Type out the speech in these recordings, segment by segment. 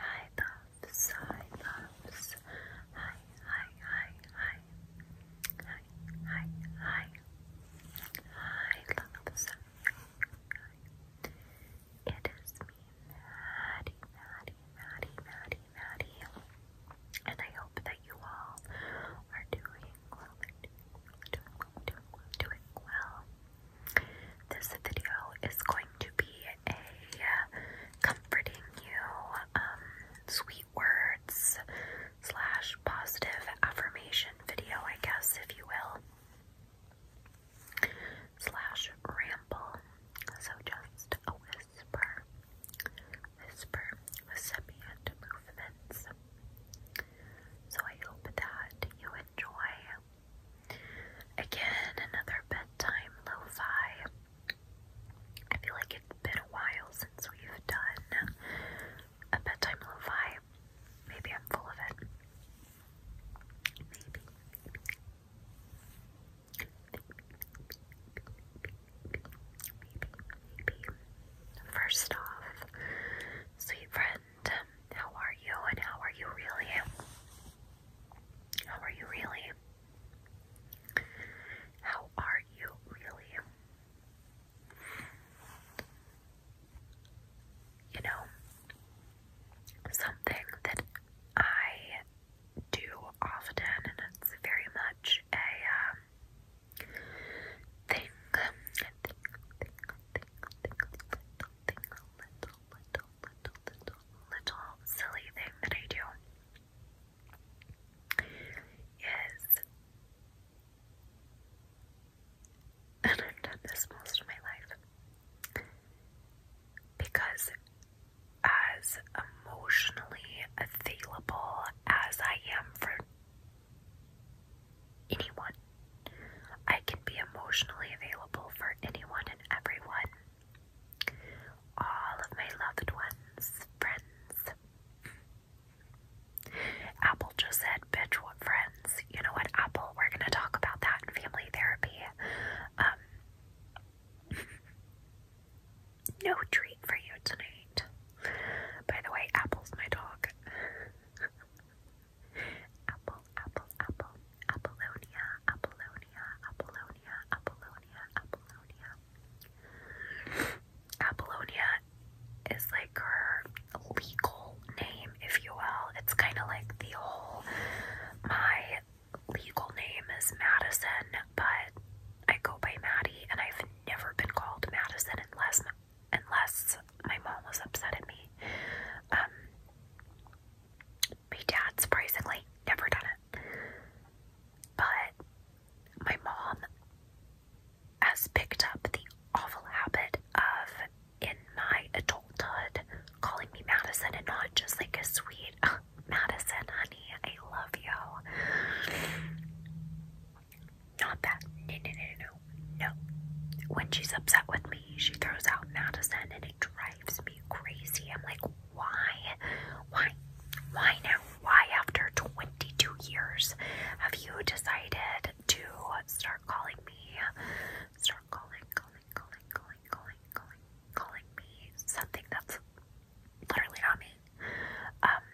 Hi loves, hi loves, hi, hi, hi, hi, hi, hi, hi, hi It is me, Maddie, Maddie, Maddie, Maddie, Maddie, and I hope that you all are doing well. This video is going to be a uh, comforting you, um, sweet words slash positive affirmation video, I guess, if you will, slash ramble. So just a whisper, whisper with subient movements. So I hope that you enjoy Again, another bedtime lo I feel like it's been a while since we've done a bedtime lo Maybe I'm full of it. Maybe. First off, sweet friend, how are you and how are you really? How are you really? How are you really? You know, something that I do often, and it's very much a thing, little, little, little, silly thing that I do is, and I've done this most of my life, because as emotionally available as I am for anyone, I can be emotionally available for anyone and everyone all of my loved ones, friends. Apple just said, bitch, what friends? You know what, Apple? We're going to talk about that in family therapy. Um, no treat for you tonight. By the way, Apple's my dog. apple, apple, apple. Apollonia, Apollonia, Apollonia, Apollonia, Apollonia. Apollonia is like her legal name, if you will. It's kind of like the whole my legal name is Madison, but I go by Maddie, and I've never been called Madison unless unless my mom was upset at me. Um, my dad surprisingly never done it. But my mom has picked up the awful habit of in my adulthood calling me Madison and not just like a sweet oh, Madison, honey, I love you. Not that. No, no, no, no, no. When she's upset with me, she throws out Madison and drives me crazy. I'm like, why? Why? Why now? Why after 22 years have you decided to start calling me, start calling, calling, calling, calling, calling, calling, calling me something that's literally not me? Um,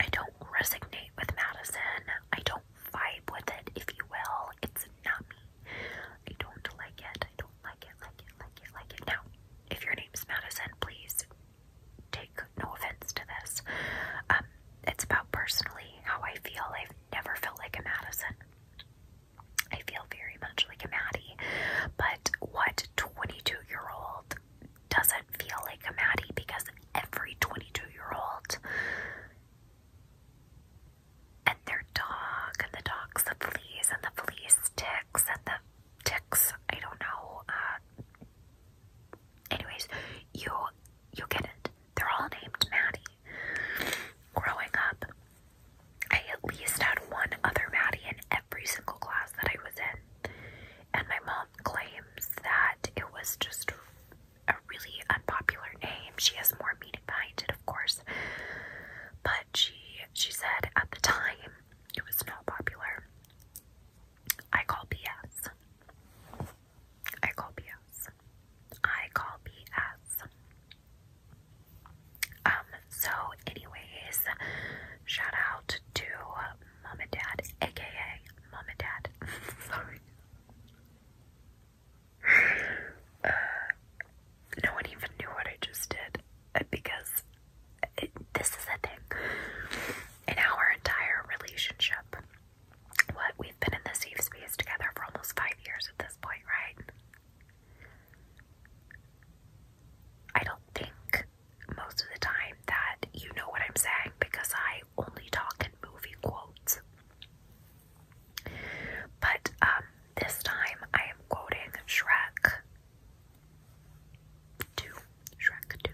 I don't resonate with Madison. I don't vibe with it, if you will. It's not me. I don't like it. I don't like it, like it, like it, like it. Now, if your name's Madison, please take no offense to this. Um, it's about personally how I feel. I've never felt like a Madison. I feel very much like a Maddie, but what 22 year old doesn't feel like a Maddie because every 22 year old and their dog, and the dog's the fleas, and the fleas ticks, and the ticks, I don't know. Uh, anyways, you you get it. They're all named Maddie. Growing up, I at least had one other Maddie in every single class that I was in. And my mom claims that it was just a really unpopular name. She has more meaning behind it of course. But she she said at the time it was not popular. I call BS. I call BS. I call BS. Um, so anyways, shout out to Mom and Dad, aka Mom and Dad. Sorry no one even knew what I just did because this is a thing. In our entire relationship, what we've been in the safe space together for almost five years at this point, right? I don't think most of the time that you know what I'm saying because I only talk in movie quotes. But um this time I am quoting Shrek 2. Shrek 2,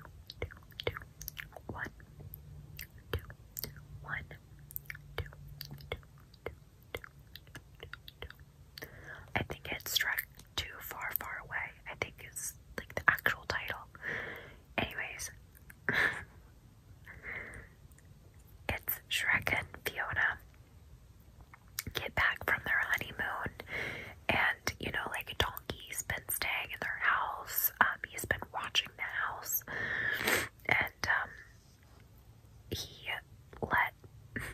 I think it's Shrek 2 Far, Far Away. I think it's like the actual title. Anyways. It's Shrek and Fiona get back from their honeymoon and you know like donkey's been staying in their house um, he's been watching the house and um, he let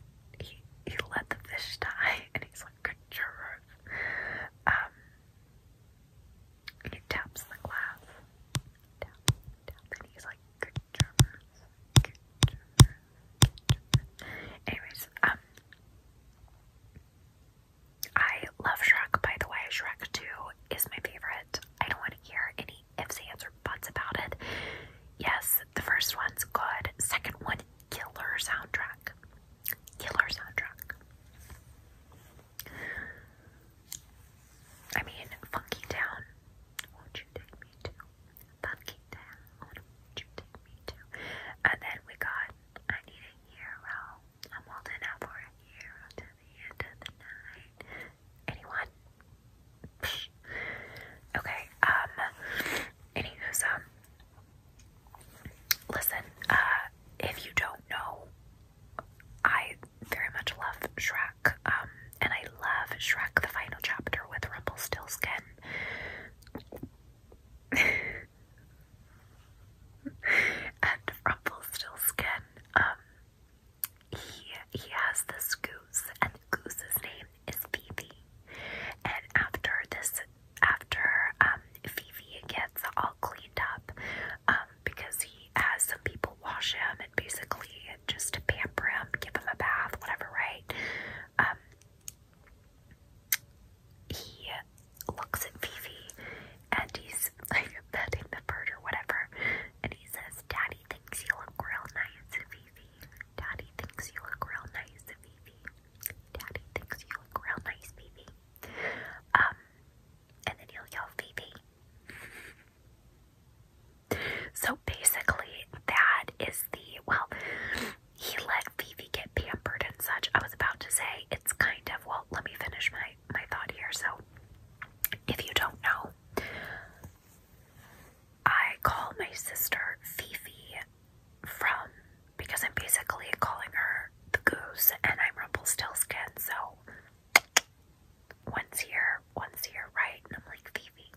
he, he let the fish die and he's like good job um, he taps the glass and he's like good job Anyways, um, I love Shrek, by the way. Shrek 2 is my favorite. I don't want to hear any ifs, ands, or buts about it. Yes, the first one's good. Second one, killer soundtrack. Killer soundtrack. I mean, Funky Town. Won't you take me to pumpkin town. What would you take me to? And then we got, I need a hero. I'm holding out for a hero to the end of the night. Anyone? okay, um, anywho's, um, listen, uh, if you don't know, I very much love Shrek, um, and I love Shrek the Final Chapter with Rumpelstiltskin. and Rumpelstiltskin, um, he he has this goose, and the goose's name is Phoebe. And after this, after um, Phoebe gets all cleaned up, um, because he has some people wash him and basically just pamper him, give him a bath, whatever, right? Um, he looks at Fifi and he's like petting the bird or whatever, and he says, Daddy thinks you look real nice, Fifi. Daddy thinks you look real nice, Fifi. Daddy thinks you look real nice, Fifi. Um, and then he'll yell, Fifi. So basically, that is the well, he let Phoebe get pampered and such. I was about to say it's kind of well, let me finish my my thought here. So if you don't know, I call my sister Fifi from because I'm basically calling her the goose and I'm Rumpelstiltskin, so once here, once here, right? And I'm like Fifi,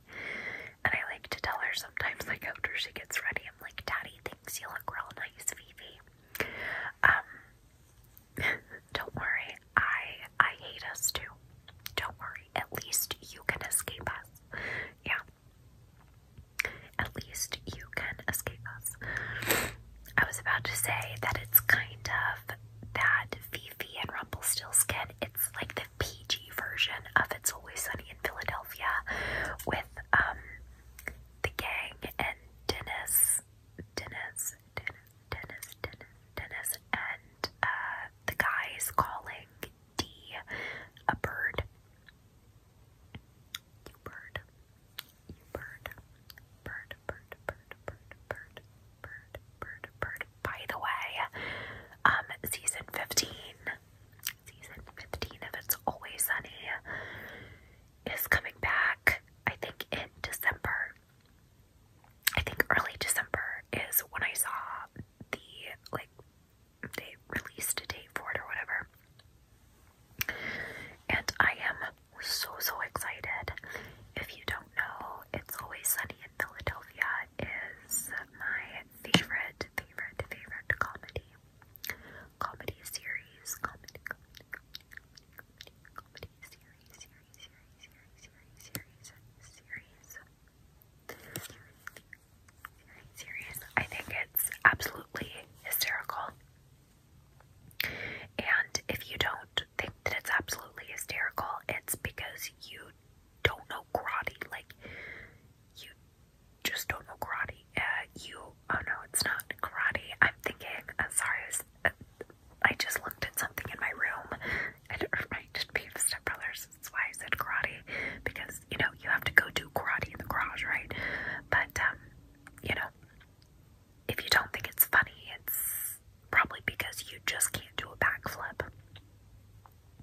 and I like to tell her sometimes, like after she gets ready, I'm like, Daddy thinks you look real nice, Vivi. Um, don't worry, I I hate us too. Don't worry, at least you can escape us. Yeah. At least you can escape us. I was about to say that it's kind of that Fifi and Rumpelstiltskin, it's like the PG version of It's Always Sunny in Philadelphia with um, the gang and Dennis, Dennis, Dennis, Dennis, Dennis, Dennis, and uh, the guys calling D a bird. bird, bird, bird, bird, bird, bird, bird, bird, By the way, um, season fifteen season 15 of It's Always Sunny is coming back, I think, in December. I think early December is when I saw the, like, they released a date for it or whatever. And I am so, so excited. If you don't know, It's Always Sunny in Philadelphia is my favorite, favorite, favorite, comedy. Comedy series, comedy, comedy, comedy, series, series, series, series, series, series, series, series, series. I think it's absolutely hysterical. And if you don't think that it's absolutely hysterical, it's because you don't know karate. Like, you just don't know karate. Uh, you, oh no, it's not karate. I'm thinking, uh, sorry, uh, I, just looked at something in my room and it reminded me of Step Brothers. That's why I said karate because, you know, you have to go do karate in the garage, right? But, um, you know, if you don't think it's funny, it's probably because you just can't do a backflip.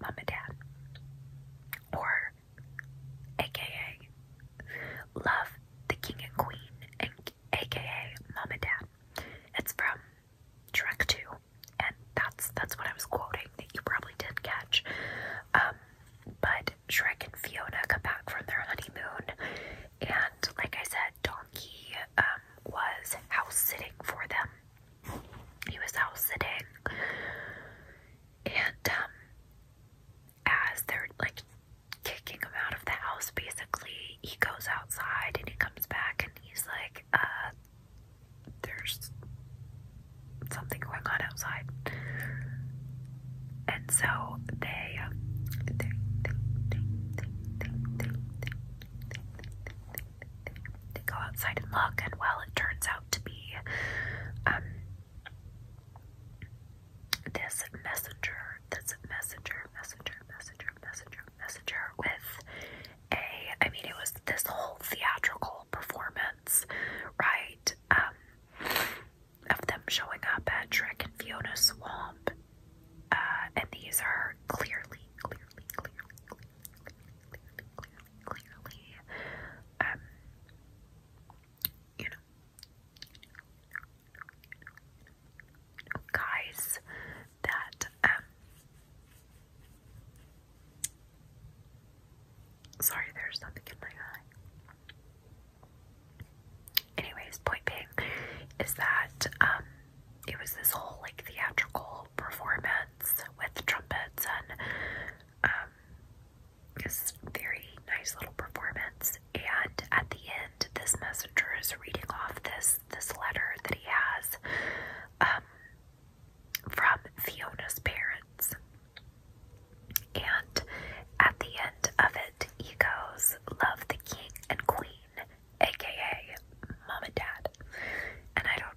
mom and dad. Or, aka, love the king and queen, and aka mom and dad. It's from Trek 2, and that's that's what I was quoting that you probably did catch. Um, but Shrek and Fiona come back from their honeymoon, and like I said, Donkey um, was house sitting for them he was out sitting and um, as they're like kicking him out of the house basically he goes outside and he comes back and he's like uh, there's something going on outside and so they um, they, go outside and look and well it turns out to be um this messenger, this messenger, messenger, messenger, messenger, messenger with a I mean it was this whole theatrical performance, right? Um of them showing up at Trek and Fiona Swamp. Uh and these are clearly, clearly, clearly, clearly, clearly, clearly, clearly, um, you know, guys that, um, sorry, there's something in my eye. Anyways, point being is that, um, it was this whole like theatrical performance with trumpets and um um, this very nice little performance. And at the end, this messenger is reading off this this letter that he has um, from Fiona's parents. And at the end of it, he goes, "Love the king and queen, aka mom and dad." And I don't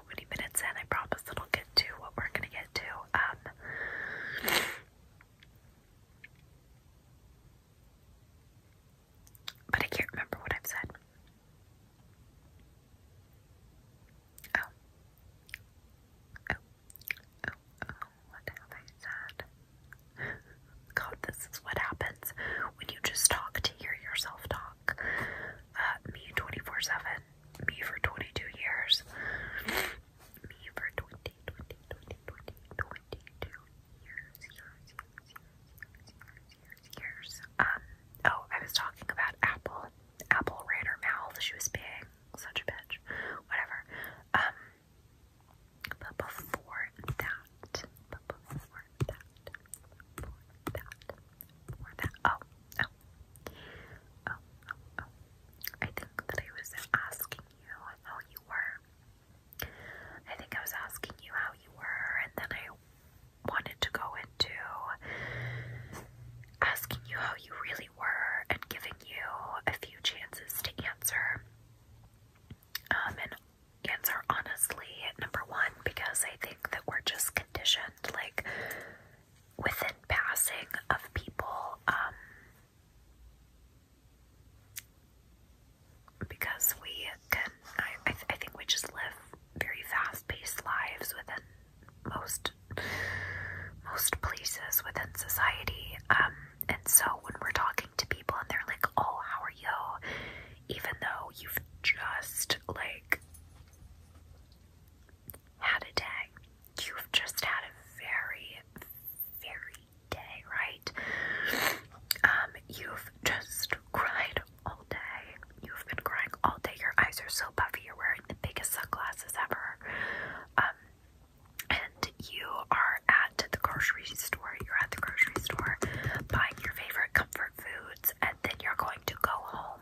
so many minutes in. I promise it'll get to what we're gonna get to. Um, but I can't remember what I've said. Oh. Oh. Oh. oh what have I said? God, this is what happens when you just talk to hear yourself talk. Uh, me 24 7 me for 22 years. Me for 20, years, years, years, Um, oh, I was talking about Apple. Apple ran her mouth. She was being such a bitch. Whatever. Um, but before that, or that. Oh, oh, oh, oh, oh. I think that I was asking you how you were. I think I was asking you how you were, and then I wanted to go into asking you how you really were and giving you a few chances to answer. Um, and answer honestly, number one, because I think that we're just conditioned. Like, within passing of people um, because we can I I, think we just live very fast-paced lives within most most places within society um, and so when we're talking to people and they're like oh how are you even though you've just like had a day. You've just had a very, very day, right? Um, you've just cried all day. You've been crying all day. Your eyes are so puffy. You're wearing the biggest sunglasses ever. Um, and you are at the grocery store. You're at the grocery store buying your favorite comfort foods, and then you're going to go home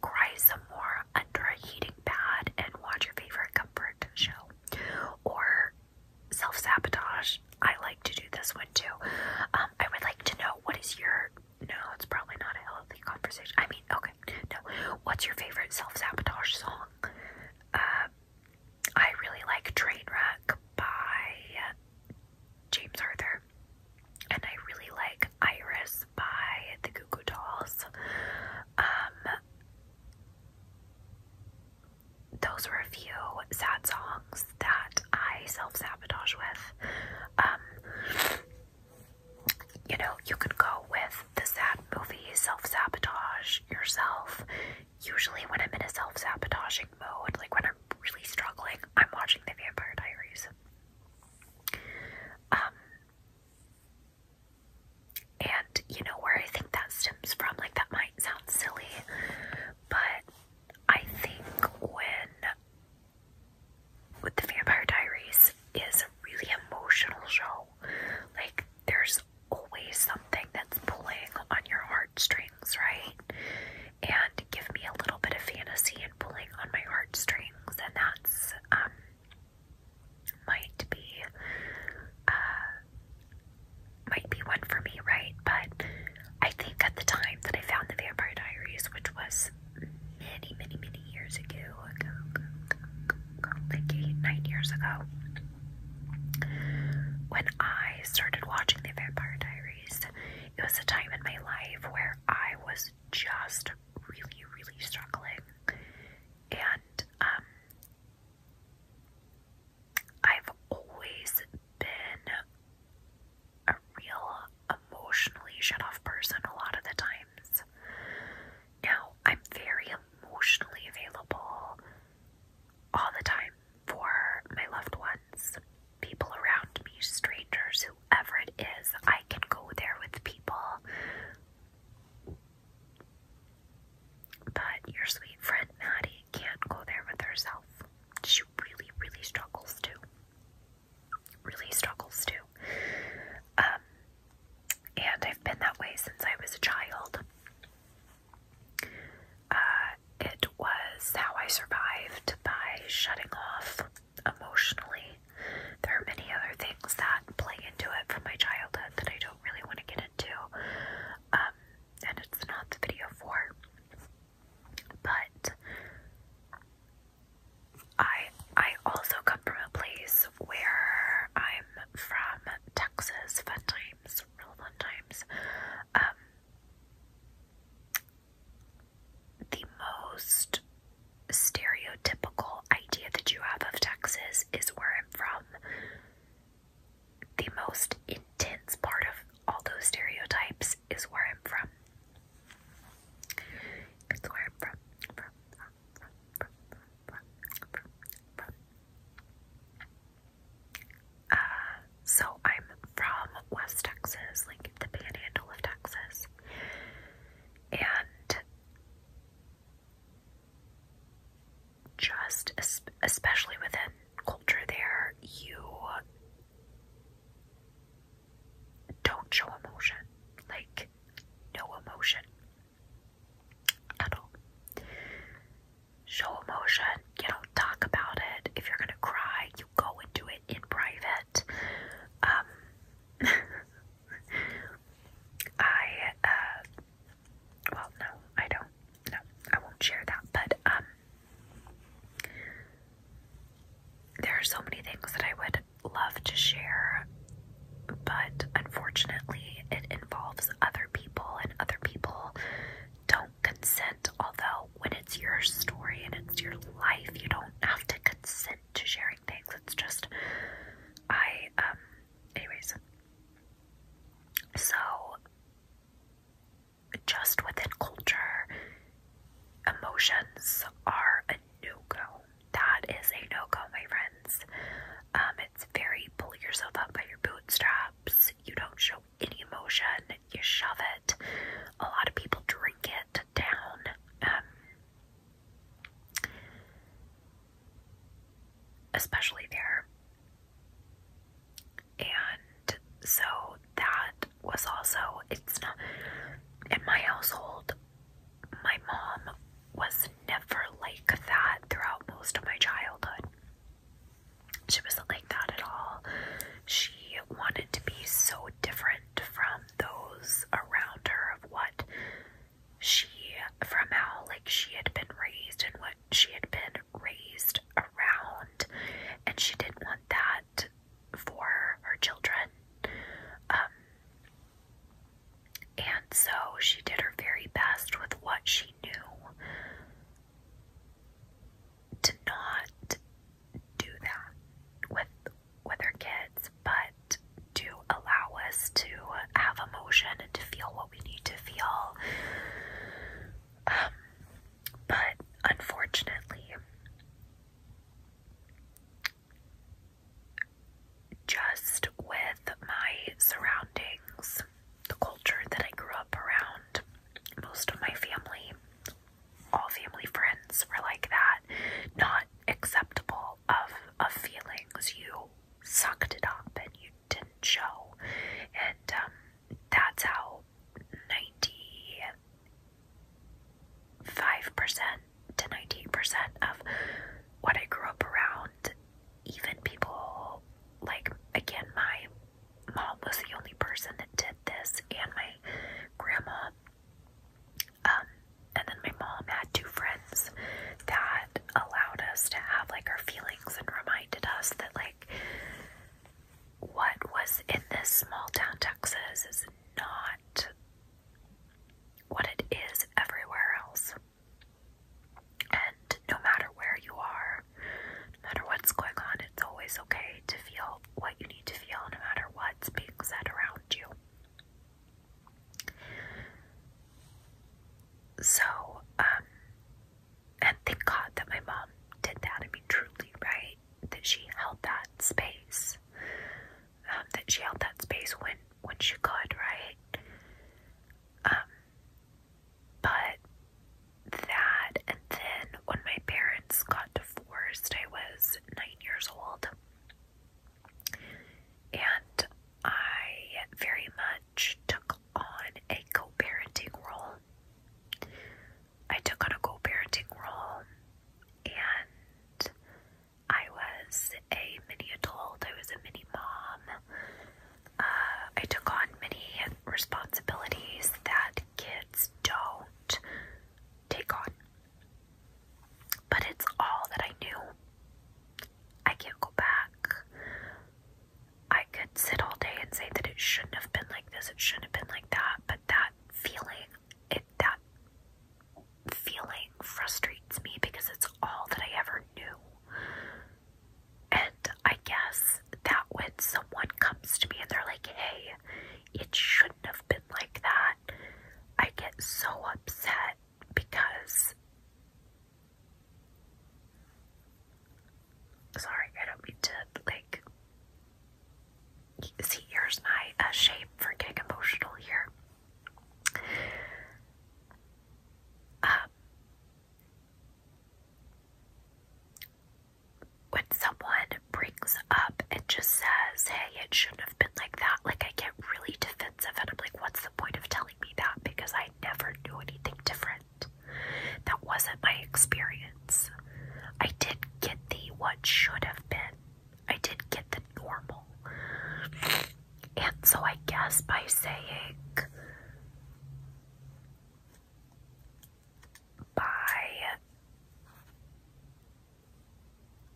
cry some more under a heating pad and watch your favorite comfort show. Or self sabotage. I like to do this one too. Um, I would like to know what is your. No, it's probably not a healthy conversation. I mean, okay, no. What's your favorite self sabotage song? Uh, I really like Trainwreck by James Arthur, and I really like Iris by the Goo Goo Dolls. Um, those were a few sad songs that I self sabotage with. Um, you know, you could go with the sad movie, self sabotage yourself. Usually, when I'm in a self sabotaging mode, like when I'm really struggling, I'm watching The Vampire Diaries. Um, and you know where I think that stems from? Like, that might sound silly, but I think when with the Vampire Diaries is a really emotional show, like, there's always something that's pulling on your heartstrings, right? And give me a little bit of fantasy and pulling on my heartstrings, and that's um might be uh, might be one for me, right? But I think at the time that I found the Vampire Diaries, which was many, many, many years ago, nine years ago, when I started watching the Vampire Diaries, it was a time in my life where I was just really, really struggling and um, I've always been a real emotionally shut off person a lot of the times. Now, I'm very emotionally available all the time for my loved ones, people around me, strangers, whoever it is. I can go there with people but your sweet friend Maddie can't go there with herself. She really, really struggles to. Really struggles to. Um, and I've been that way since I was a child. Uh, it was how I survived by shutting off emotionally there are many other things that play into it from my childhood that I don't really want to get into, um, and it's not the video for. But I I also come from a place where I'm from Texas. Fun times, real fun times. Um, the most stereotypical idea that you have of Texas is where I'm from. The most intense part of all those stereotypes is where I'm from. It's where I'm from. from, from, from, from, from, from. so I'm from West Texas, like the panhandle of Texas. And just especially within culture there you don't show emotion like no emotion at all show emotion you know. talk about it if you're gonna cry you go and do it in private um, I, uh, well, no, I don't. No, I won't share that. But, um, there are so many things that I would love to share, but unfortunately, it involves other people, and other people don't consent. Although, when it's your story and it's your life, you don't have to consent to sharing things. It's just, I, um, Anyways, so just within culture, emotions are a no go. That is a no go, my friends. Um, it's very pull yourself up by your bootstraps. You don't show any emotion. You shove it. A lot of people drink it down. Um, especially there. And so that was also, it's not, in my household, my mom was never like that throughout most of my childhood. She wasn't like that at all. She wanted to be so different from those around her of what she from how like she had been raised and what she had been raised around and she didn't want that for her children um and so she did her very best with what she knew to not do that with with her kids but it to allow us to have emotion and to feel what we need to feel. Um, but unfortunately, just with my surroundings, the culture that I grew up around, most of my family, all family friends were like that, not acceptable of of feelings. You sucked it up and you didn't show. And um, that's how 95% to ninety percent of what I grew up around, even people like, again, my mom was the only person that did this, and my grandma. Um, and then my mom had two friends that allowed us to have like our feelings and reminded us that like what was in this small town Texas is not what it is everywhere else. And no matter where you are, no matter what's going on, it's always okay to feel what you need to feel, no matter what's being said around you. So, um, and thank God that my mom did that. and be truly, right? That she held that space. Um, that she held that space when when she could, right? Um, but that, and then when my parents got divorced, I was nine years old, and I very much took on a co parenting role. I took on a co parenting role and I was a mini adult, I was a mini mom. Uh, I took on many responsibilities that kids don't take on. But it's all that I knew. I can't go back. I could sit all day and say that it shouldn't have been like this, it shouldn't have been like that, but that feeling, it that feeling frustrates me because it's all that I ever knew. And I guess that when someone comes to me and they're like, hey, it shouldn't have been like that, I get so upset because sorry, I don't mean to like see here's my uh, for getting emotional here. Um, when someone brings up and just says, "Hey, it shouldn't have been like that," like I get really defensive, and I'm like, "What's point of telling me that because I never knew anything different. That wasn't my experience. I did get the what should have been, I did get the normal. And so I guess by saying, by,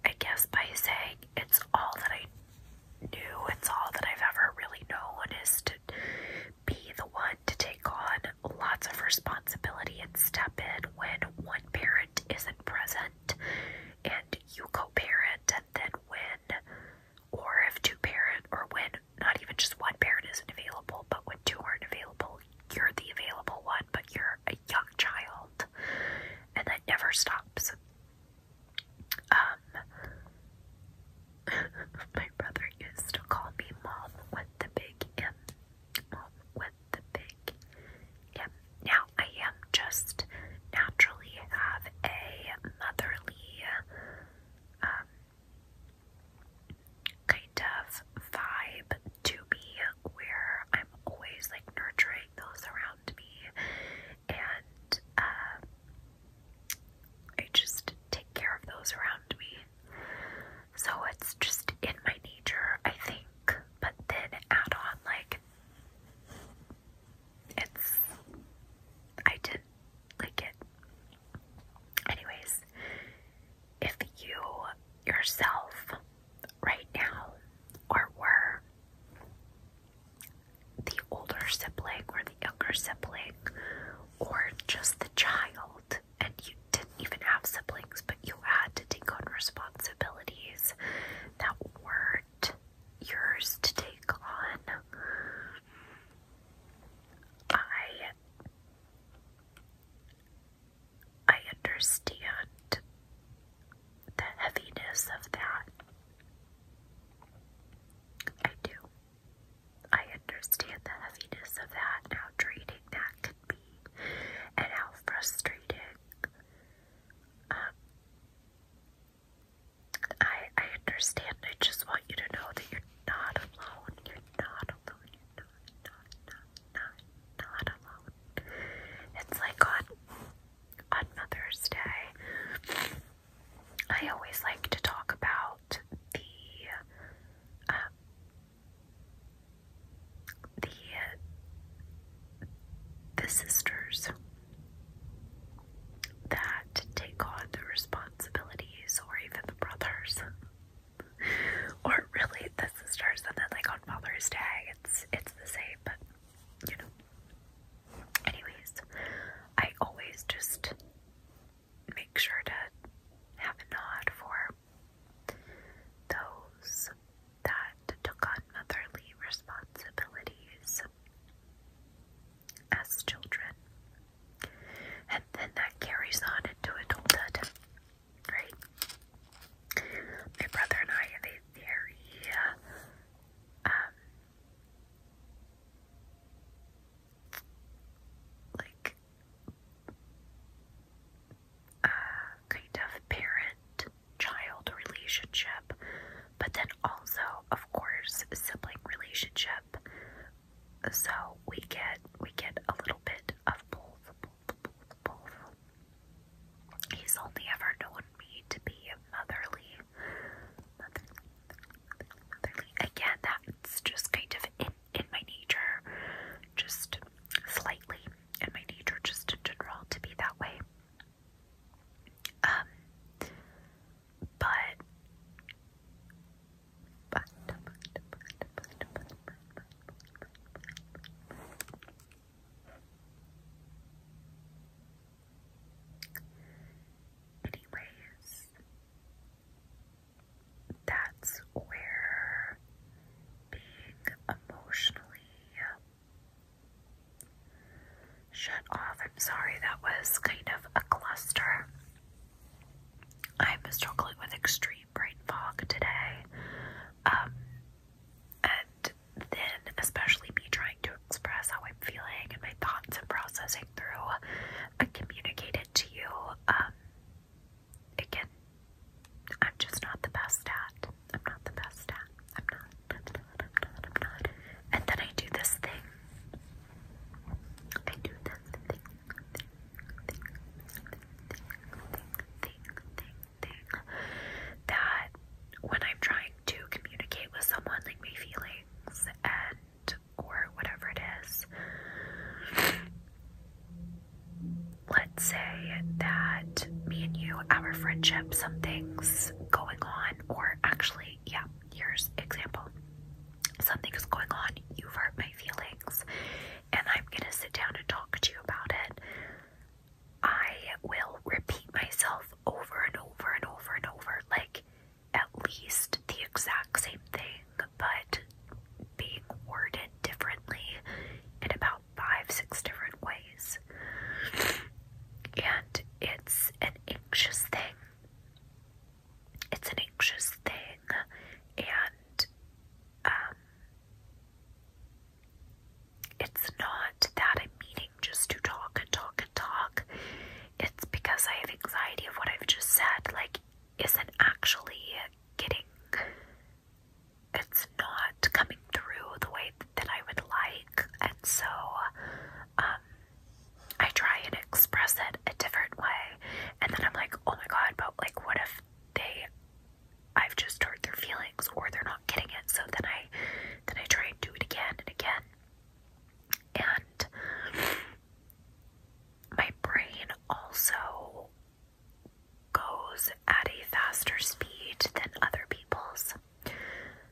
I guess by saying it's all that I new. It's all that I've ever really known is to be the one to take on lots of responsibility and step in when one parent isn't present and you co parent, and then when, or if two parent, or when not even just one parent isn't available, but when two aren't available, you're the available one, but you're a young child, and that never stops. Um, my brother used to call me Mom with the big M. Mom with the big M. Now I am just naturally have a motherly, um, kind of vibe to me where I'm always like nurturing those around me and um I just take care of those around me. So it's just in my nature, I think. But then add on, like, it's. I did like it. Anyways, if you yourself right now or were the older sibling or the younger sibling or just the child and you didn't even have siblings but you had to take on responsibilities that weren't yours to take on. I I understand the heaviness of that. I do. I understand the heaviness of that and how draining that can be and how frustrating. Um, I I understand. I just want you to know that you're not alone. You're not alone. You're not, not, not, not, not alone. It's like on on Mother's Day. I always like to talk about the um, the the sisters that take on the responsibilities, or even the brothers, or really the sisters, and then like on Mother's Day, it's it's the same, but you know. Anyways, I always just make sure to have a nod for those that took on motherly responsibilities as children. And then that carries on into adulthood, right? My brother and I have a very, um, like a uh, kind of parent child relationship, but then also, of course, sibling relationship. So we get we get a little bit of both, He's only ever known me to be motherly motherly, motherly, Again, that's just kind of in in my nature, just slightly in my nature, just in general, to be that way. Um, but, but, but, but, but, but, but, but, but. Anyways, that's where being emotionally shut off. I'm sorry, that was kind of a cluster. I'm struggling with extreme brain fog today. Um, and then, especially me trying to express how I'm feeling and thoughts and processing through but communicate it to you again I'm just not the best at I'm not the best at I'm not I'm not I'm not I'm not and then I do this thing I do this thing that when I'm trying to communicate with someone like my feelings and or whatever it is. Let's say that me and you, our friendship, something's going on, or actually, yeah, here's example. Something is going on, you've hurt my feelings, and I'm gonna sit down and talk to you about it. I will repeat myself over and over and over and over. Like, at least the exact same thing, but being worded differently in about five, six different ways. And it's an anxious thing. It's an anxious thing, and um, it's not that I'm meaning just to talk and talk and talk. It's because I have anxiety of what I've just said. Like, isn't actually getting, it's not coming through the way that I would like. And so um, I try and express it a different way. And then I'm like, oh my God, but like, what if they, I've just hurt their feelings or they're not getting it. So then I, then I try and do it again and again. And my brain also goes at a faster speed than other people's,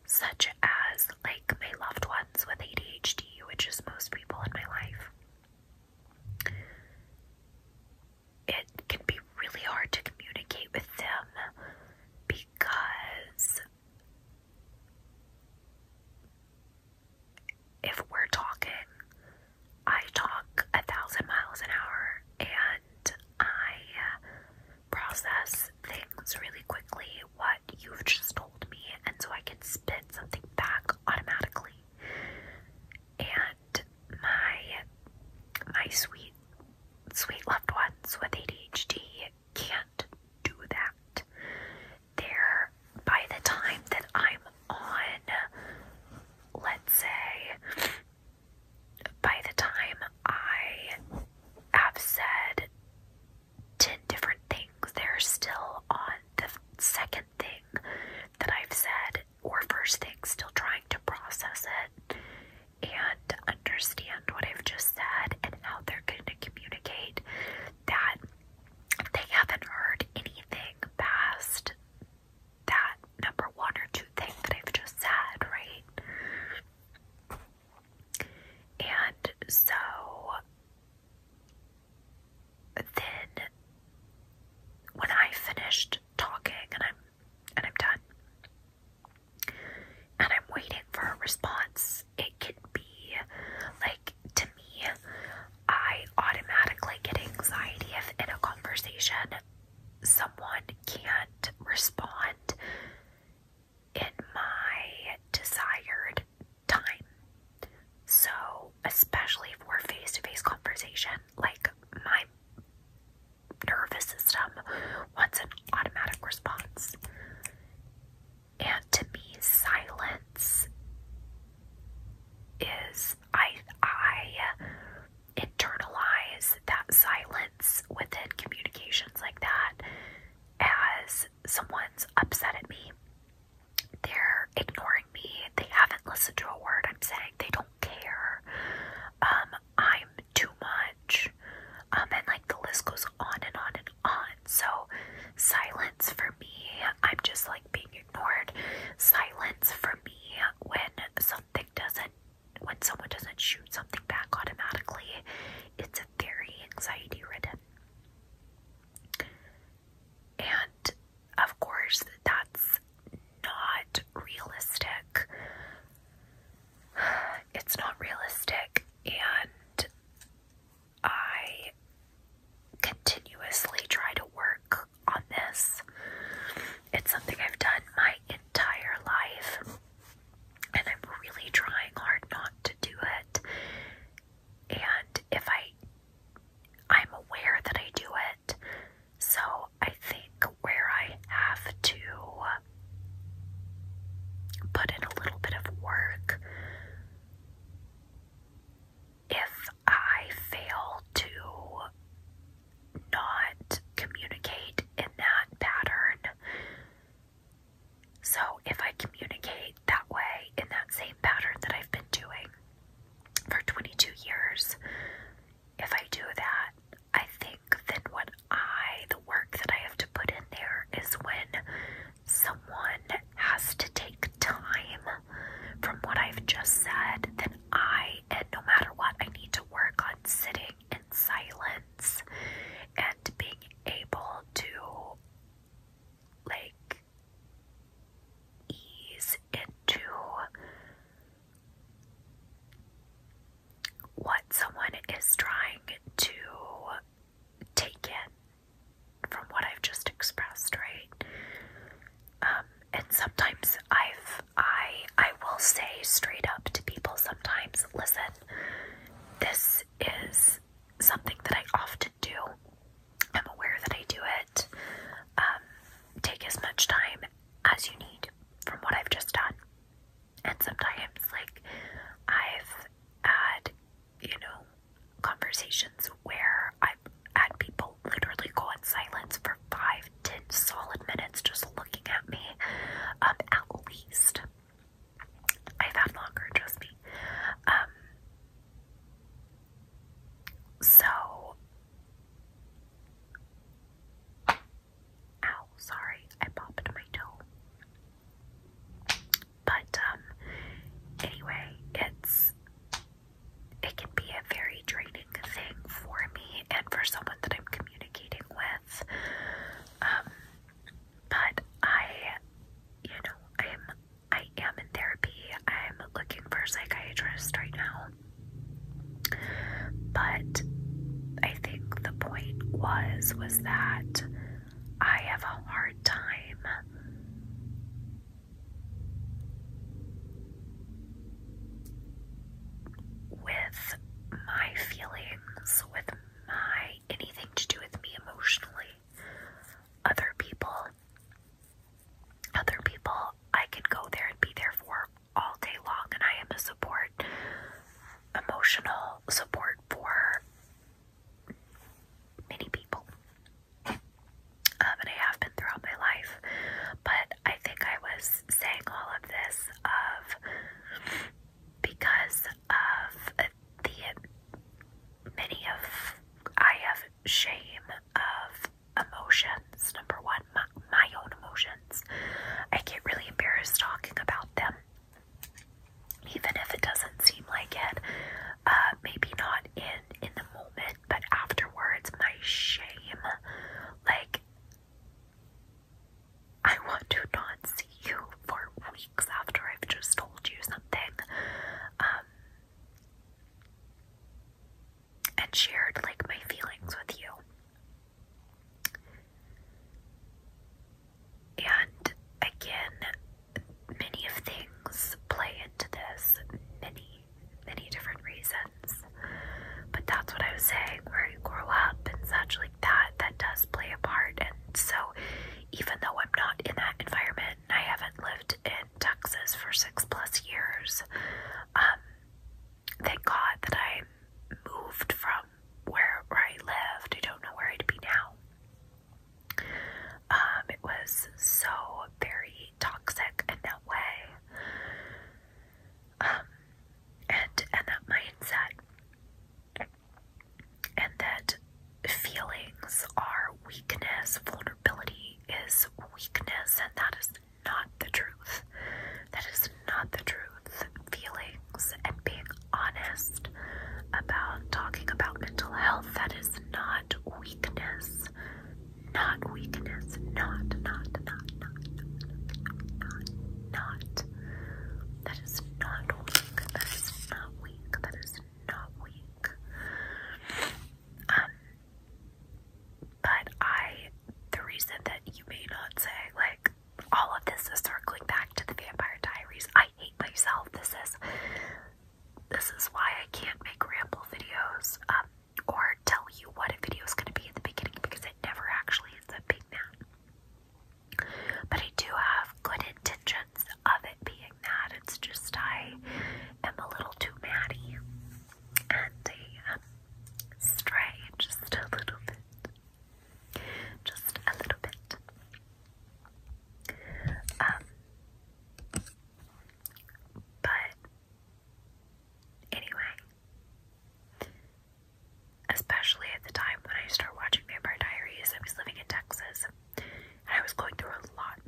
such as like my loved ones with ADHD, which is most people in my life. It can be really hard to communicate with them because if we're talking, I talk a thousand miles an hour and I uh, process things really quickly, what you've just told me, and so I can spit something back automatically. And my my sweet sweet loved ones with ADHD can't do that there by the time that I'm on, let's say, by the time I have said 10 different things, they're still on the second thing that I've said or first thing, still trying to process it and understand what I've just said and how they're going to communicate that they haven't heard anything past that number one or two thing that I've just said, right? And so then when I finished talking and I'm and I'm done and I'm waiting for a response, it could be like to me, I automatically get anxiety if in a conversation someone can't respond in my desired time. So, especially for face to face conversation, like my nervous system wants an automatic response. And to me, silence is I I internalize that silence within communications like that as someone's upset at me. They're ignoring me. They haven't listened to a word I'm saying. They don't care. Um, I'm too much. Um, and like the list goes on and on and on. So Silence for me, I'm just like being ignored. Silence for me when something doesn't, when someone doesn't shoot something back automatically, it's a very anxiety ridden. And of course, that's not realistic. It's not realistic, and I continuously try to work on this. It's something I've done my entire life, and I'm really trying hard not to do it. And if I I'm aware that I do it. So I think where I have to put in a little bit of work, if I fail to not communicate in that pattern. So, if I communicate that way in that same pattern that I've been doing for 22 years, if I do that, I think that what I, the work that I have to put in there is when someone has to take time from what I've just said, then I, and no matter what, I need to work on sitting in silence and being able to, like, ease into what someone is trying to take in from what I've just expressed, right? Um, and sometimes I've I I will say straight up to people sometimes, listen, this is something that I often do. I'm aware that I do it. Um, take as much time as you need from what I've just done. And sometimes, like, I've had, you know, conversations where I've had people literally go in silence for five, ten solid minutes just looking at me, um, at least. I've had longer, trust me. Um, so, ow, sorry, I popped my toe. But, um, anyway, it's it can be a very draining thing for me and for someone that I'm communicating with. Um, but I, you know, I'm I am in therapy. I'm looking for a psychiatrist right now. But I think the point was was that I have a hard time with my feelings, with my anything to do with me emotionally, other people, other people I can go there and be there for all day long, and I am a support, emotional support for many people. Uh, and I have been throughout my life. But I think I was saying all of this of because of the many of I have shame of emotions. Number one, my, my own emotions. I get really embarrassed talking about them. Even if it doesn't seem like it, uh, maybe not in in the moment, but afterwards, my shame, like, I want to not see you for weeks after I've just told you something. Um, and shared like my feelings with you. And again, many of things play into this. Many, many different reasons. But that's what I was saying, where you grow up and such like that, that does play a part. And so, even though I'm not in that environment, and I haven't lived in Texas for six plus years, um, thank God that I moved from where, where I lived. I don't know where I'd be now. Um, it was so very toxic in that way. and and that mindset and that feelings are weakness, vulnerability is weakness, and that is not the truth. That is not the truth. Feelings and being honest about talking about mental health, that is not weakness not weakness, not, not, not, not, not, not. That is not weak. That is not weak. That is not weak. Um, but I, the reason that you may not say like all of this is circling back to the Vampire Diaries. I hate myself. This is this is why I can't make ramble videos. Um, or tell you what a video is going to be at the beginning because it never actually ends up being that. But I do have good intentions of it being that. It's just I am a little too maddie and strange, just a little bit. Just a little bit. Um, but Anyway, especially at the time when I started watching Vampire Diaries, I was living in Texas and I was going through a lot.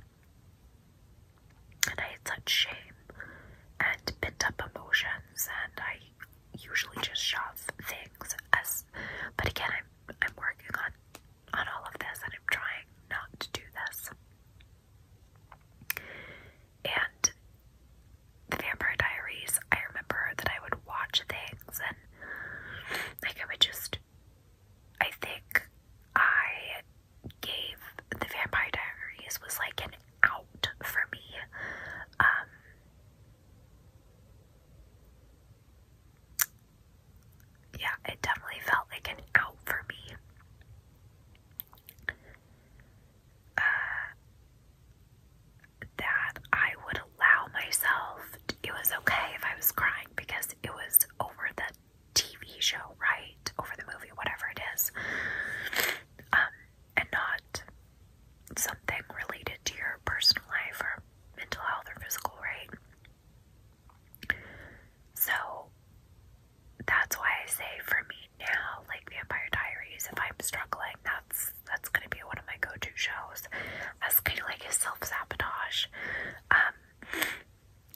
And I had such shame and pent up emotions, and I usually just shove things as. But again, I'm I'm working on on all of this, and I'm trying not to do this. And the Vampire Diaries, I remember that I would watch things and like I would just I think I gave the Vampire Diaries was like an out for me. Um yeah, it definitely felt like an out for me. Uh, that I would allow myself, it was okay if I was crying because it was over the TV show, right? Over the movie, whatever it is. Um, and not something related to your personal life or mental health or physical, right? So that's why I say for me now, like Vampire Diaries, if I'm struggling, that's that's gonna be one of my go-to shows. That's kind of like a self-sabotage. Um,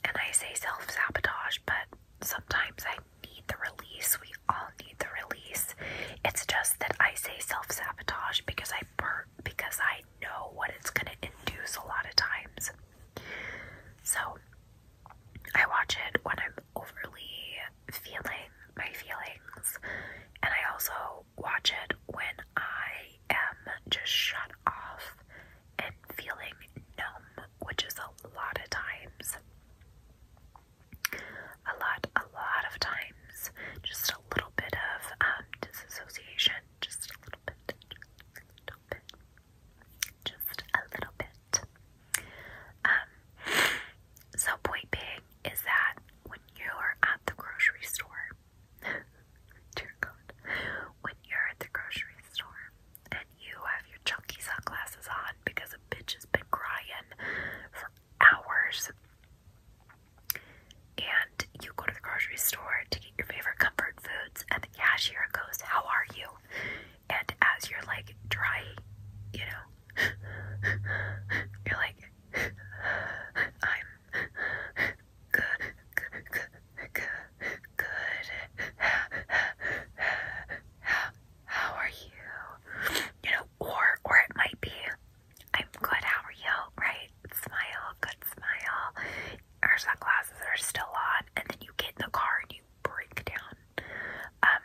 and I say self-sabotage, but sometimes I need the release. We all need the release. It's just that I say self-sabotage because I because I know what it's gonna induce a lot of times. So I watch it when I'm overly feeling my feelings, and I also watch it when I am just shut off and feeling numb, which is a lot of times. A lot, a lot of times, just a little bit of um, disassociation, just a little bit, just a little bit, just a little bit. Um, so point being is that when you're at the grocery store, dear God, when you're at the grocery store and you have your chunky sunglasses on because a bitch has been crying for hours, and you go to the grocery store to get your favorite comfort foods, and the cashier goes, "How are you?" and as you're like dry, you know, you're like, I'm good, good, good, good. How, how are you? You know, or or it might be, I'm good. How are you? Right? Smile, good smile. Our sunglasses are still on, and then you get in the car and you break down. Um,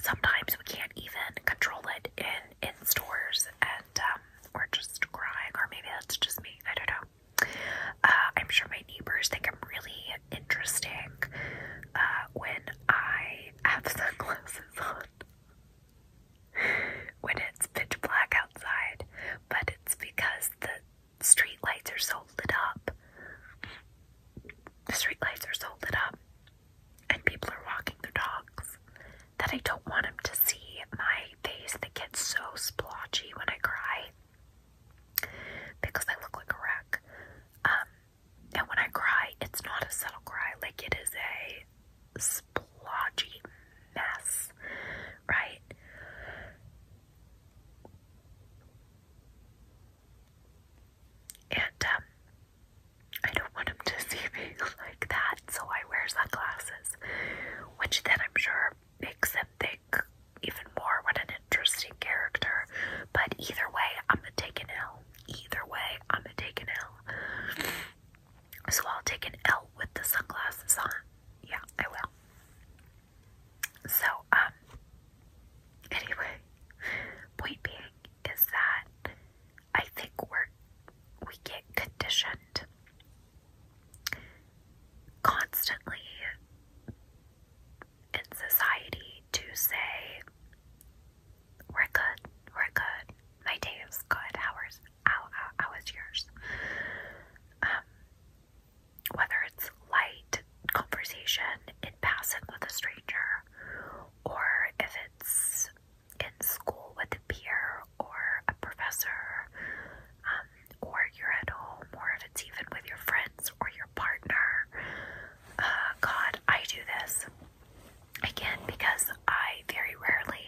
sometimes we can't even control it in in stores, and um, we're just crying. Or maybe that's just me. I don't know. Uh, I'm sure my neighbors think I'm really interesting uh, when I have sunglasses on. when it's pitch black outside, but it's because the street lights are so lit up. The street lights are so lit up, and people are walking their dogs that I don't want them to see my face that gets so splotchy when I cry because I look like a wreck. Um, and when I cry, it's not a subtle cry, like it is a splotchy mess, right? And um, I don't want him to see me like that, so I wear sunglasses, which then I'm sure makes him think even more what an interesting character. But either way, I'm gonna take an L. Either way, I'm gonna take an L. So I'll take an L with the sunglasses on. Yeah, I will. So, um, anyway, point being is that I think we're we get conditioned constantly in society to say we're good, we're good, my day is good, how, how, how is yours? Um, whether it's light conversation in passing with a stranger, or if it's in school with a peer or a professor, um, or you're at home, or if it's even with your friends or your partner. Uh, God, I do this again because I very rarely,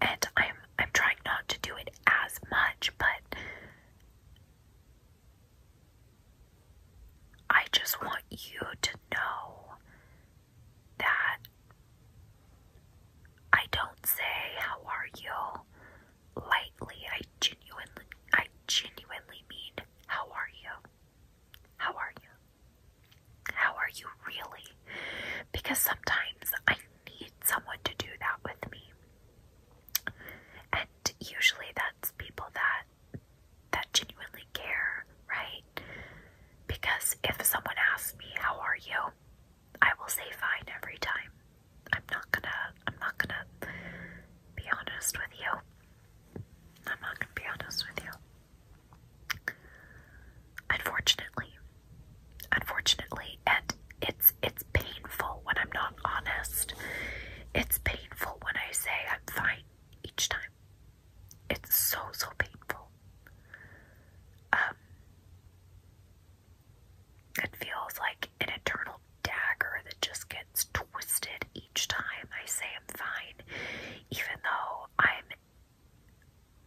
and I'm I'm trying not to do it as much, but I just want you to know that I don't say how are you lightly. I genuinely I genuinely mean how are you? How are you? How are you really? Because sometimes I need someone to do that with me. And usually that's people that that genuinely care, right? Because if someone asks me, "How are you?" I will say fine every time. I'm not gonna I'm not gonna be honest with you. I'm not gonna be honest with you. Unfortunately. Unfortunately, and it's it's painful when I'm not honest. It's painful when I say I'm fine each time. It's so, so painful. Um, it feels like an eternal dagger that just gets twisted each time I say I'm fine, even though I'm.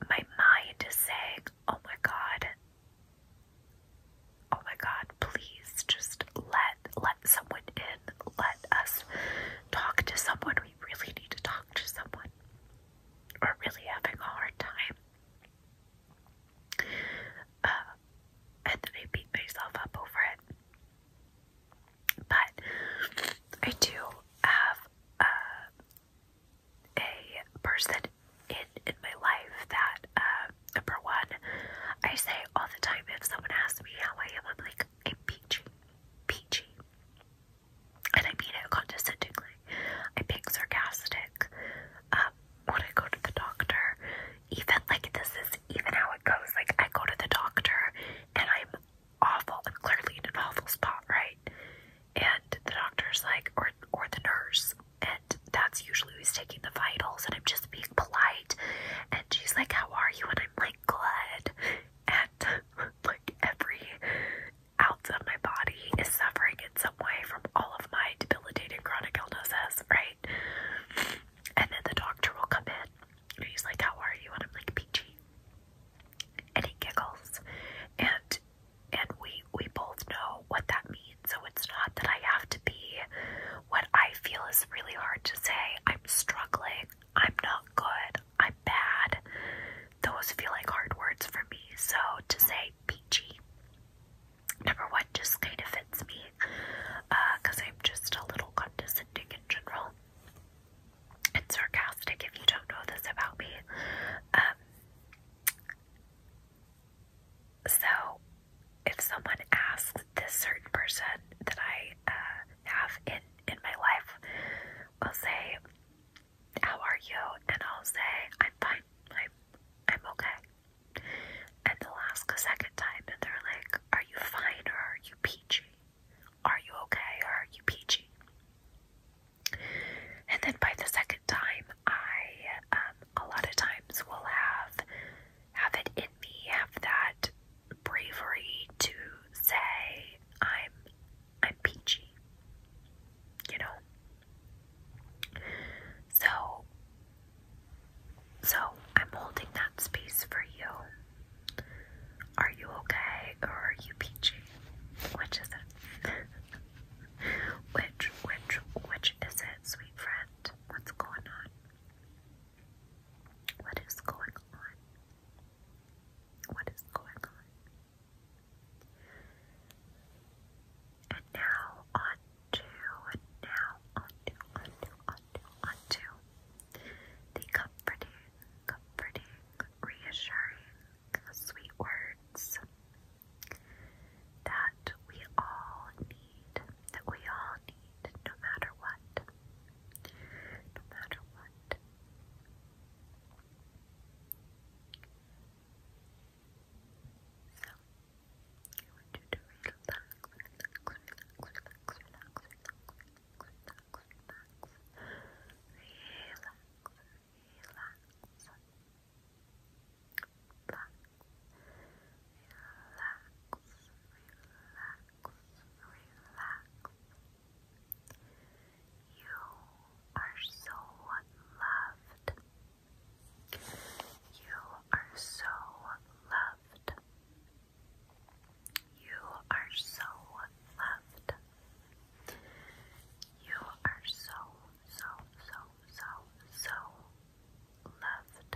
My mind is saying, oh my god, oh my god, please just let let someone in let us talk to someone we really need to talk to someone or really having a hard time uh, and then I beat myself up over it but I do have uh, a person in in my life that uh, number one I say all the time if someone asks me how I am I'm like a peachy, peachy, and I mean it condescendingly, I'm being sarcastic, um, when I go to the doctor, even, like, this is even how it goes, like, I go to the doctor, and I'm awful, I'm clearly in an awful spot, right, and the doctor's like, or, or the nurse, and that's usually who's taking the vitals, and I'm just being polite, and she's like, how are you, and I'm like glad at like every ounce of my body is suffering in some way from all of my debilitating chronic illnesses, right? And then the doctor will come in and he's like, How are you? And I'm like, Peachy. And he giggles. And and we we both know what that means. So it's not that I have to be what I feel is really hard to say. I'm struggling I'm not good, I'm bad, those feel like hard words for me. So to say peachy, number one, just kind of fits me because uh, I'm just a little condescending in general and sarcastic if you don't know this about me. Um, so if someone asks this certain person that I uh, have in in my life will say, "How are you?" and I'll say, "I'm fine. I'm I'm okay." And they'll ask a second time, and they're like, "Are you fine or are you peachy? Are you okay or are you peachy?" And then by the second time, I um, lot of times will have have it in me have that bravery to say I'm I'm peachy. You know? So so I'm holding that space for you. Are you okay or are you peachy? Which is it? which which which is it, sweet friend? What's going on? What is going on? What is going on? And now on to, now on to, on to, on to the comforting, comforting, reassuring, sweet words that we all need, that we all need no matter what no matter what. I want you to relax, relax, relax, relax, relax, relax, relax, relax, relax, relax. Relax, relax, relax relax. You are so loved. You are so loved. You are so loved. You are so, so, so, so, so loved.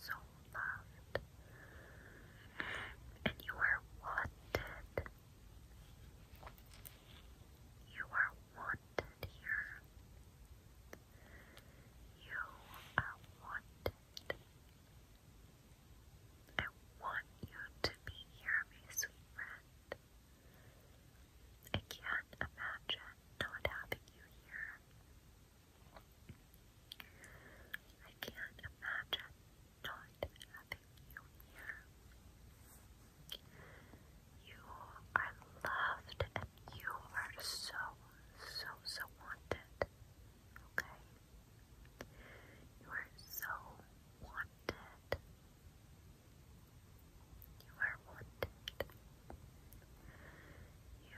so loved, and you are wanted. You are wanted here. You are wanted. I want you to be here, my sweet friend. I can't imagine not having you here. I can't imagine not having you here. You are loved and you are so, so, so wanted. Okay? You are so wanted. You are wanted. You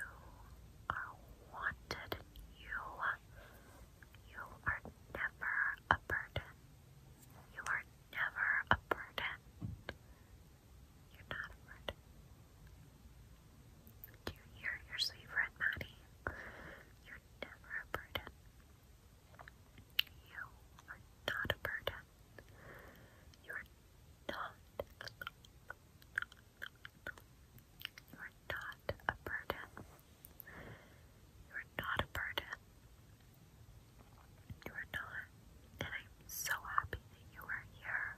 are wanted. You you are never a burden. You are never a burden. You're not a burden. Do you hear your sweet Maddie? You're never a burden. You are not a burden. You are not you are not a burden. You are not a burden. You are not. And I'm so happy that you are here.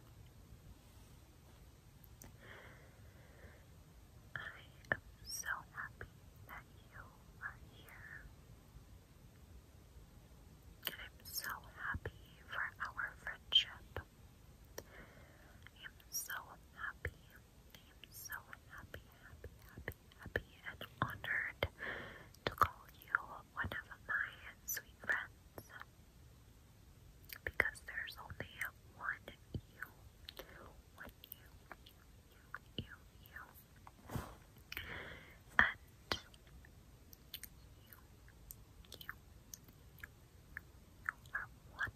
I am so happy that you are here. And I'm so happy for our friendship. I am so happy. I am so happy, happy, happy, happy, and honored to call you one of my sweet friends. Because there's only one you. One you. You, you, you. And you, you, you, you are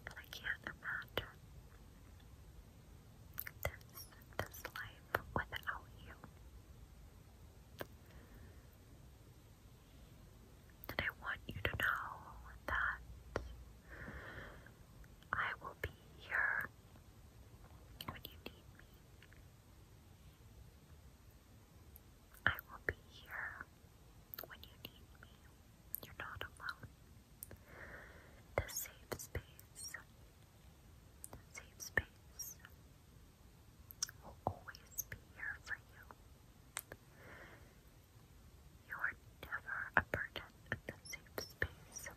And I can't imagine this, this life without you. And I want you to know that I will be here when you need me. I will be here when you need me. You're not alone. The safe space, safe space will always be here for you. You are never a in the safe space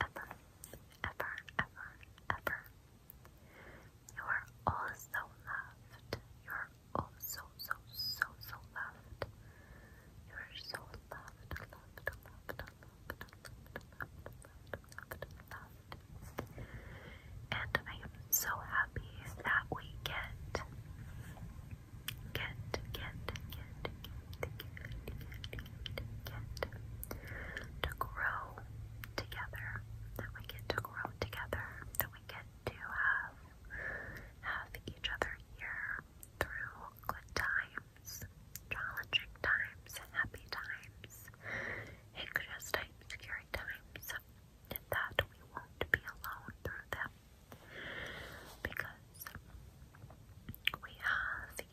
ever, ever, ever, ever. You are also loved. You are oh so, so, so, loved. You are so loved, loved, loved, loved, loved, loved, loved, loved, loved. And I am so happy that we get, get, get, get, get, get, get, get, get to grow together, that we get to grow together, that we get to have have each other here through good times, challenging times, happy times, anxious times, scary times, that we won't be alone through them because we have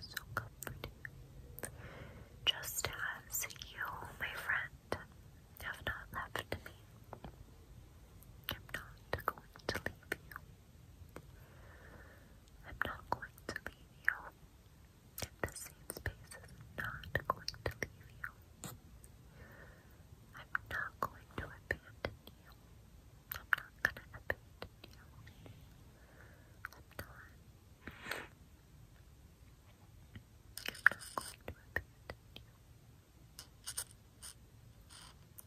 so comforting, just as you, my friend, have not left me. I'm not going to leave you. I'm not going to leave you. The same space not going to leave you. I'm not going to abandon I'm not gonna abandon you. I'm not. I'm not going to abandon you.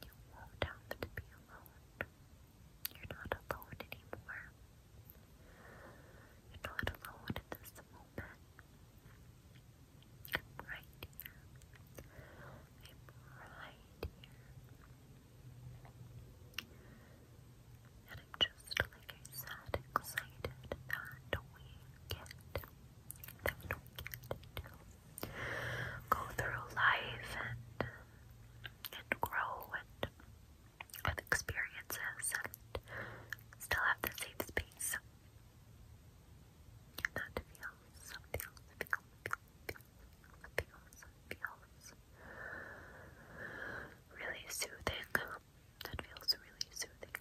You won't have to be alone. You're not alone anymore. You're not alone at this moment. I'm right here. Flip right here. And I'm just, like I said, excited that we get, that we get to go through life and, and grow and have experiences and still have the safe space. And that feels feels, feels, really soothing. That feels really soothing.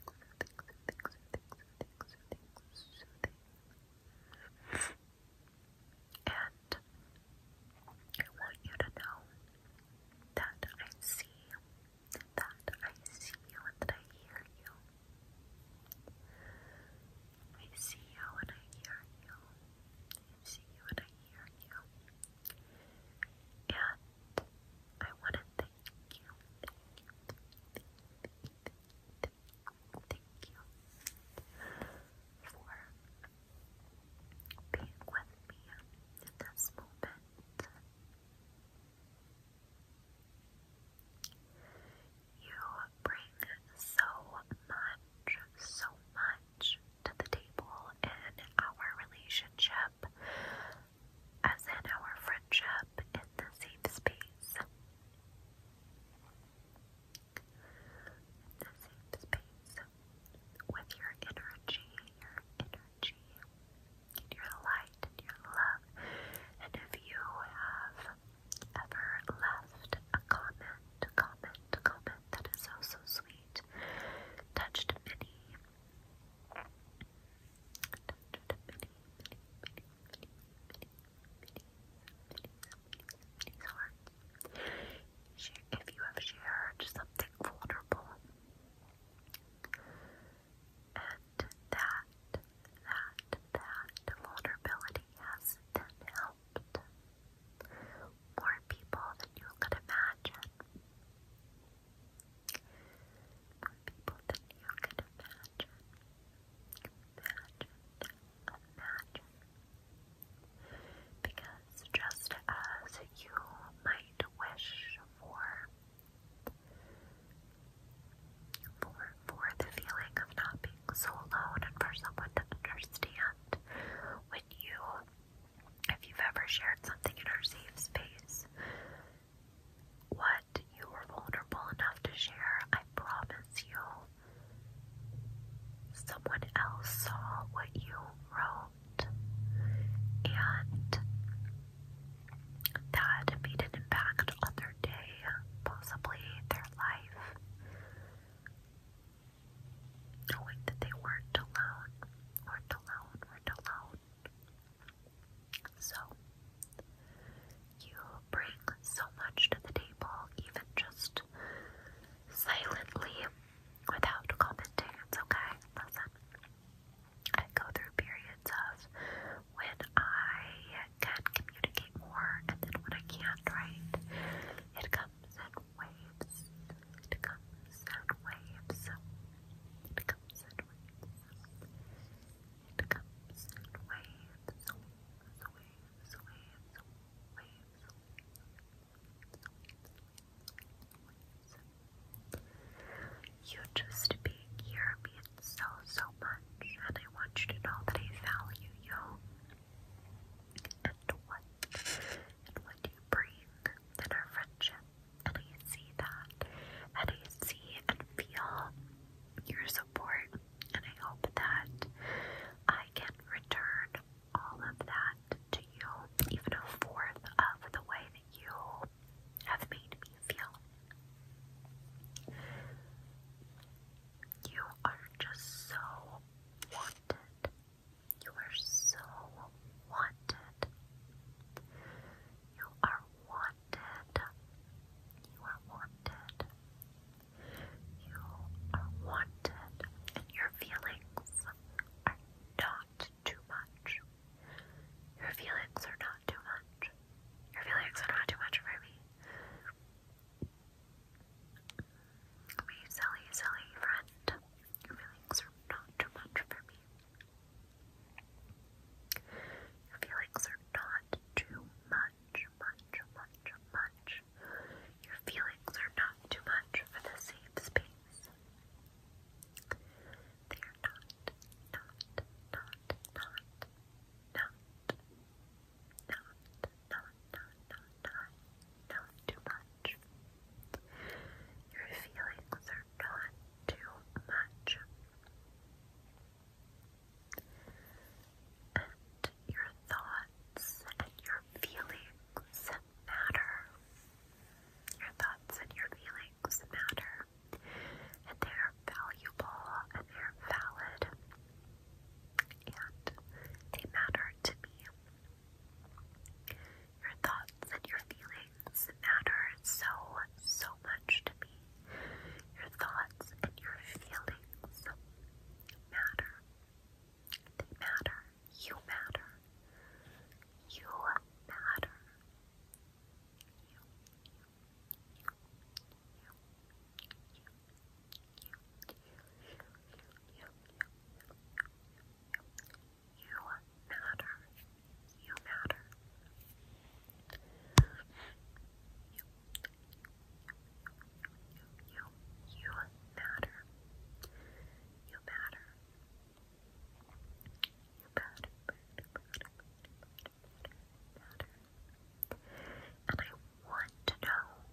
And I want you to know that I see you, that I see you, and that I hear you. I see you and I hear you. I see you and I hear you. And I want to thank you. Thank you. Thank you. Thank you. Thank you for being with me in this moment. You bring so much, so much to the table in our relationship, as in our friendship in the safe space. the safe space with your energy, your energy, your light, your love. And if you have ever left a comment, comment, comment that is so, so sweet. Touched many, touched many, many, many, many, many, many, many, hearts. If you have shared something vulnerable, and that, that, that vulnerability has then helped more people than you could imagine. More people than you could imagine. Imagine, imagine. Because just as you might wish for for for the feeling of not being so alone and for someone to understand when you, if you've ever shared something in our safe space, what you were vulnerable enough to share, I promise you, someone else saw what you wrote and that made an impact on their day, possibly their life knowing that they weren't alone, weren't alone, weren't alone. So, you bring so much to the table, even just silently, without commenting. okay. Listen, I go through periods of when I can communicate more, and then when I can't, right? It comes in sound waves. It comes waves. It comes waves. It comes sound waves. Waves, waves, waves, waves. You just being here means so, so much, and I want you to know that I value you and what and what you bring in our friendship. And I see that. And I see and feel your support. And I hope that I can return all of that to you, even a fourth of the way that you have made me feel. You are just so wanted you are so wanted. You are wanted. You are wanted. You are wanted, and your feelings are not too much. Your feelings are not too much. Your feelings are not too much for me. My silly, silly friend, your feelings are not too much for me. Your feelings are not too much, much, much, much. Your feelings are not too much for the safe They are not, not, not, not, not, not, not, not, not, not, not too much. Your feelings are not too much. And your thoughts and your feelings matter. Your thoughts and your feelings matter. And they are valuable and they're valid. And they matter to me. Your thoughts and your feelings matter so, so much to me. Your thoughts and your feelings matter. They matter. You matter. You matter. You, you, you, you, you, you matter. You matter. You, you, you matter. You matter. You matter. And I want to know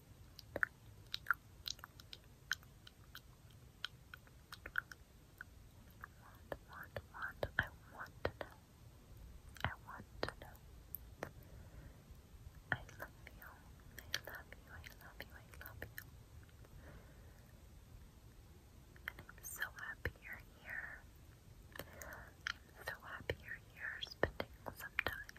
want, want, I want to know. I want to know. I love you. I love you. I love you. I love you. And I'm so happy you're here. I'm so happy you're here spending some time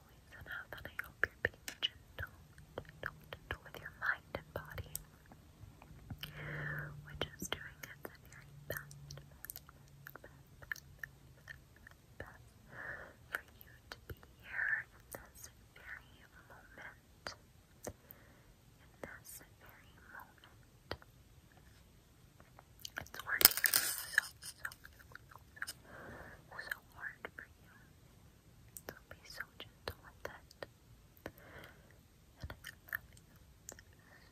always enough, and I hope you're being gentle, gentle, with your mind and body, which is doing its very best, best, best, for you to be here in this very moment. In this very moment. It's working so, so, so, so, hard for you. So be so gentle with that. And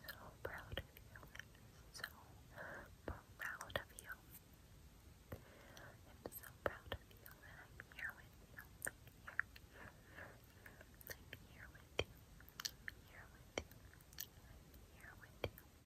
I love So proud of you. So proud of you. i so proud of you and I'm here with you. I'm here. with you. here with you. here with you.